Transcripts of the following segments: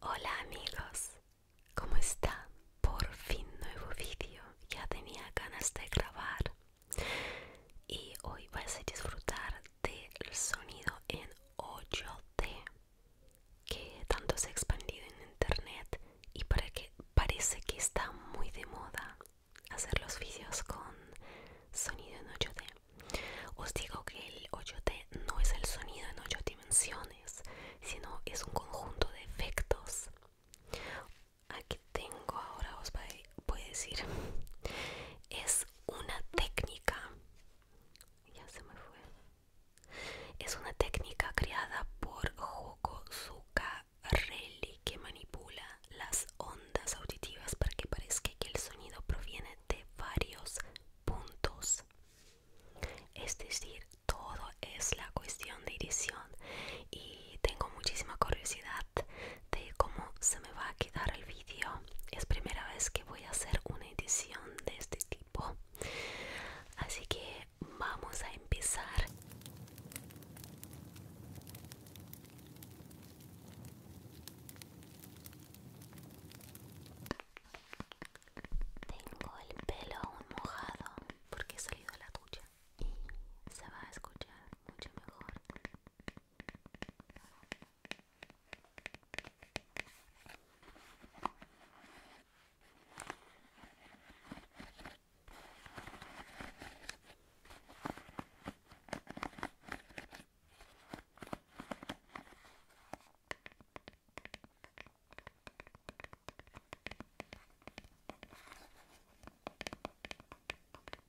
Hola amigos, ¿cómo está? Por fin nuevo video, ya tenía ganas de grabar y hoy vas a disfrutar del sonido en 8D que tanto se ha expandido en internet y para que parece que está muy de moda hacer los vídeos con sonido en 8D. Os digo que el 8D no es el sonido en 8 dimensiones, sino es un conjunto de efectos aquí tengo ahora os voy a decir es una técnica ya se me fue es una técnica creada por Joko Zuccarelli que manipula las ondas auditivas para que parezca que el sonido proviene de varios puntos es decir todo es la cuestión de edición y tengo muchísima curiosidad de cómo se me va a quedar el vídeo es primera vez que voy a hacer una edición de este tipo así que vamos a empezar tengo el pelo aún mojado porque he salido a la ducha y se va a escuchar mucho mejor.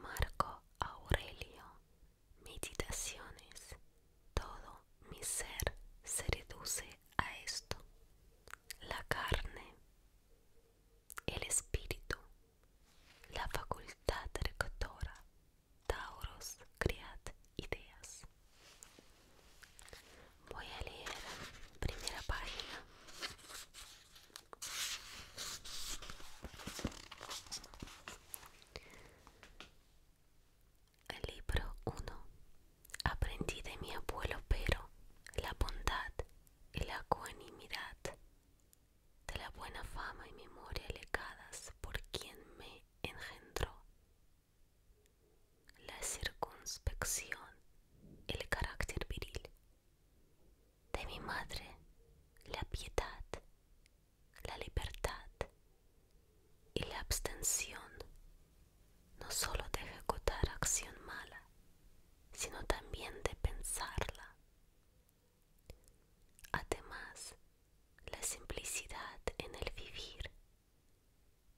Marco Aurelio, meditaciones, todo mi ser se reduce a esto, la carne, el espíritu, la facultad rectora Tauros, cread ideas. Voy a leer primera página. El libro 1. Aprendí de mi abuelo Pero la bondad y la ecuanimidad de la buena fama y memoria legadas por quien me engendró la circunspección, el carácter viril. De mi madre, la piedad, la libertad y la abstención no solo de ejecutar acción mala, sino también de pensarla. Además, la simplicidad en el vivir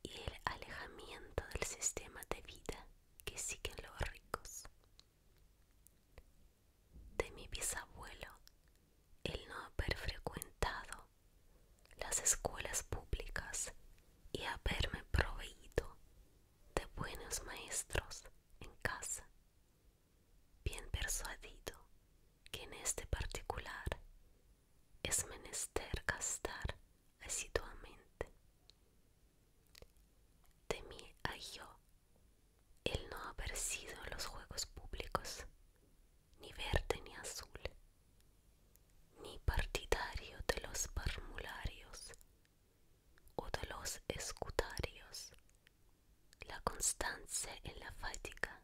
y el alejamiento del sistema de vida que siguen los ricos. De mi bisabuelo, el no haber frecuentado las escuelas públicas y haberme proveído de buenos maestros en casa, bien persuadido que en este particular es menester gastar asiduamente. mí a yo el no haber sido en los juegos públicos, ni verde ni azul, ni partidario de los formularios o de los escutarios. La constancia en la fatiga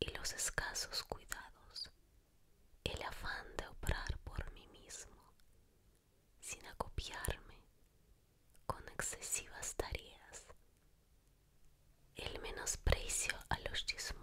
y los escasos cuidados, el afán de operar por mí mismo, sin acopiarme con excesivas tareas, el menosprecio a los chismos.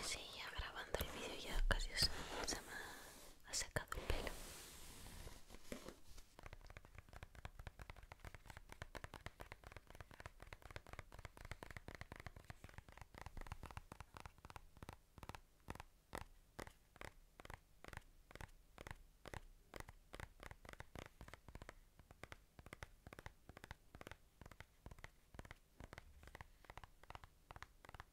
Así ya grabando el video ya casi se me ha sacado el pelo.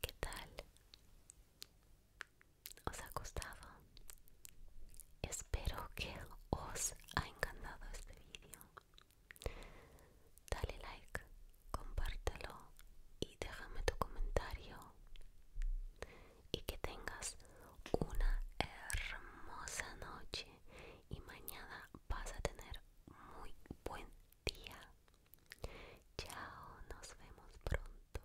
¿Qué tal? ¿Os ha gustado? Espero que os ha encantado este vídeo. Dale like, compártelo y déjame tu comentario. Y que tengas una hermosa noche y mañana vas a tener muy buen día. Chao, nos vemos pronto.